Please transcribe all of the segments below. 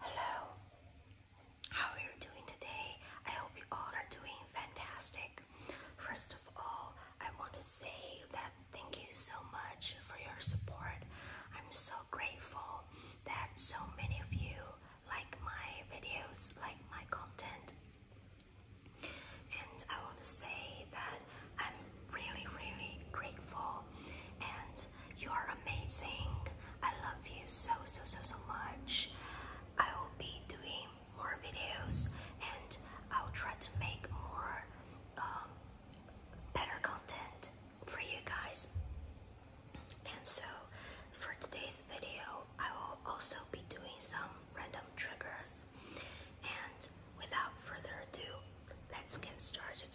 Hello, how are you doing today? I hope you all are doing fantastic. First of all, I want to say that thank you so much for your support. I'm so grateful that so many of you like my videos, like my content. And I want to say that I'm really, really grateful and you are amazing. I love you so, so, so, so much. I will be doing more videos and I'll try to make more um, better content for you guys. And so for today's video, I will also be doing some random triggers. And without further ado, let's get started.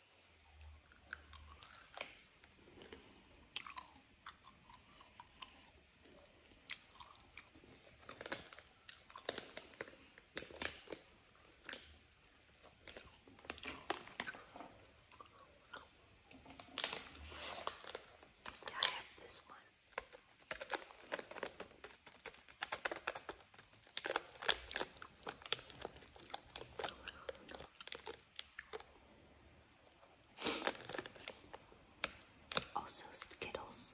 I have this one. Also Skittles.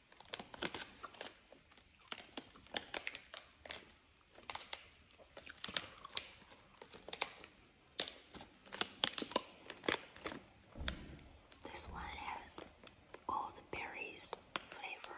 This one has all berries flavor.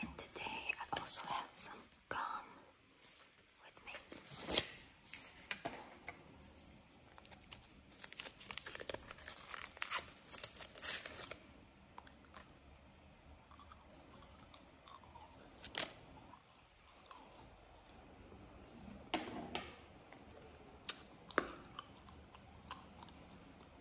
And today I also have some gum with me.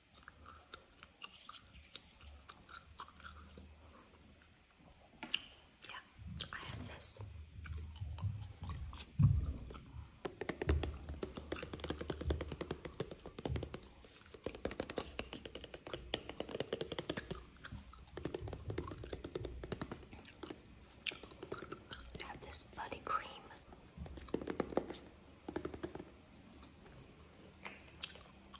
Yeah, I have this. I have this body cream.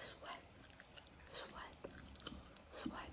sweat, sweat, sweat.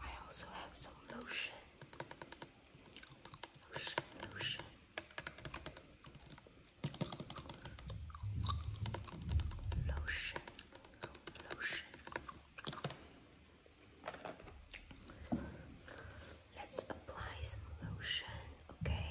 I also have some lotion. Lotion, lotion. Lotion, lotion. Let's apply some lotion, okay?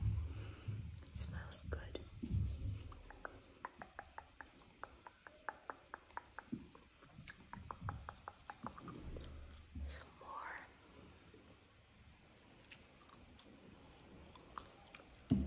It smells good. Some more.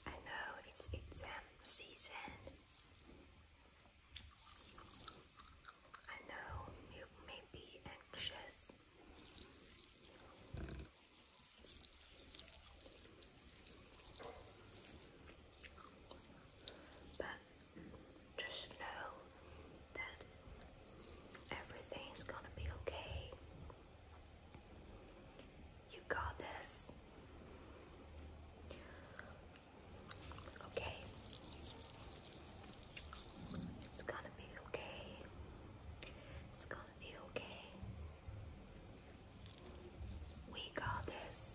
I know it's exam season I know you may be anxious. But just know that everything's gonna be okay. You got this. Okay. It's gonna be okay. It's gonna be okay. We got this.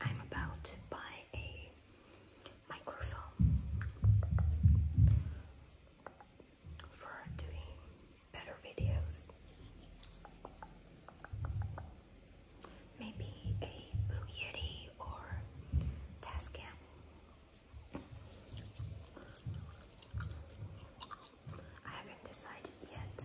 I'm about to buy a microphone for doing better videos. Maybe a Blue Yeti or Tascam I haven't decided yet.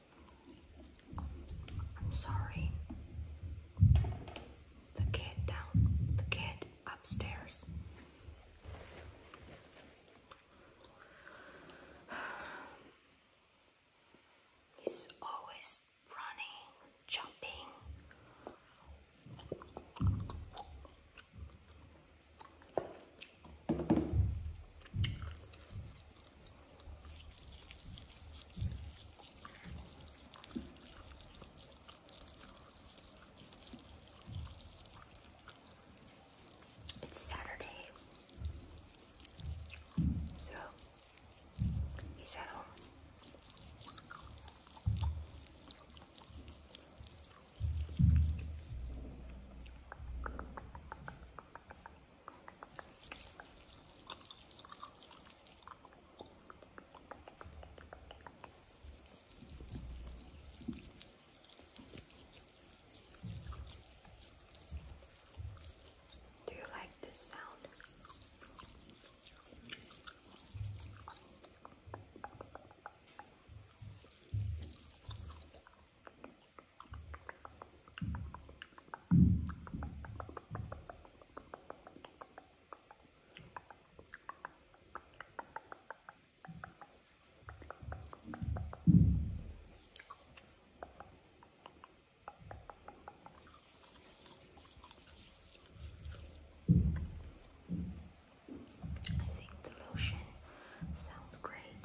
Sorry. The kid down, the kid upstairs. He's always running, jumping. It's Saturday, so he's at do you like this sound? I think the lotion sounds great.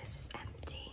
This is empty.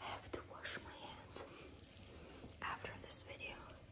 I have to wash my hands after this video.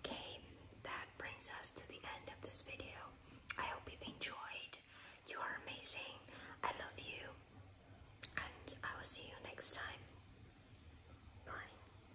Okay, that brings us to the end of this video. I hope you enjoyed. You are amazing. I love you. And I will see you next time. Bye.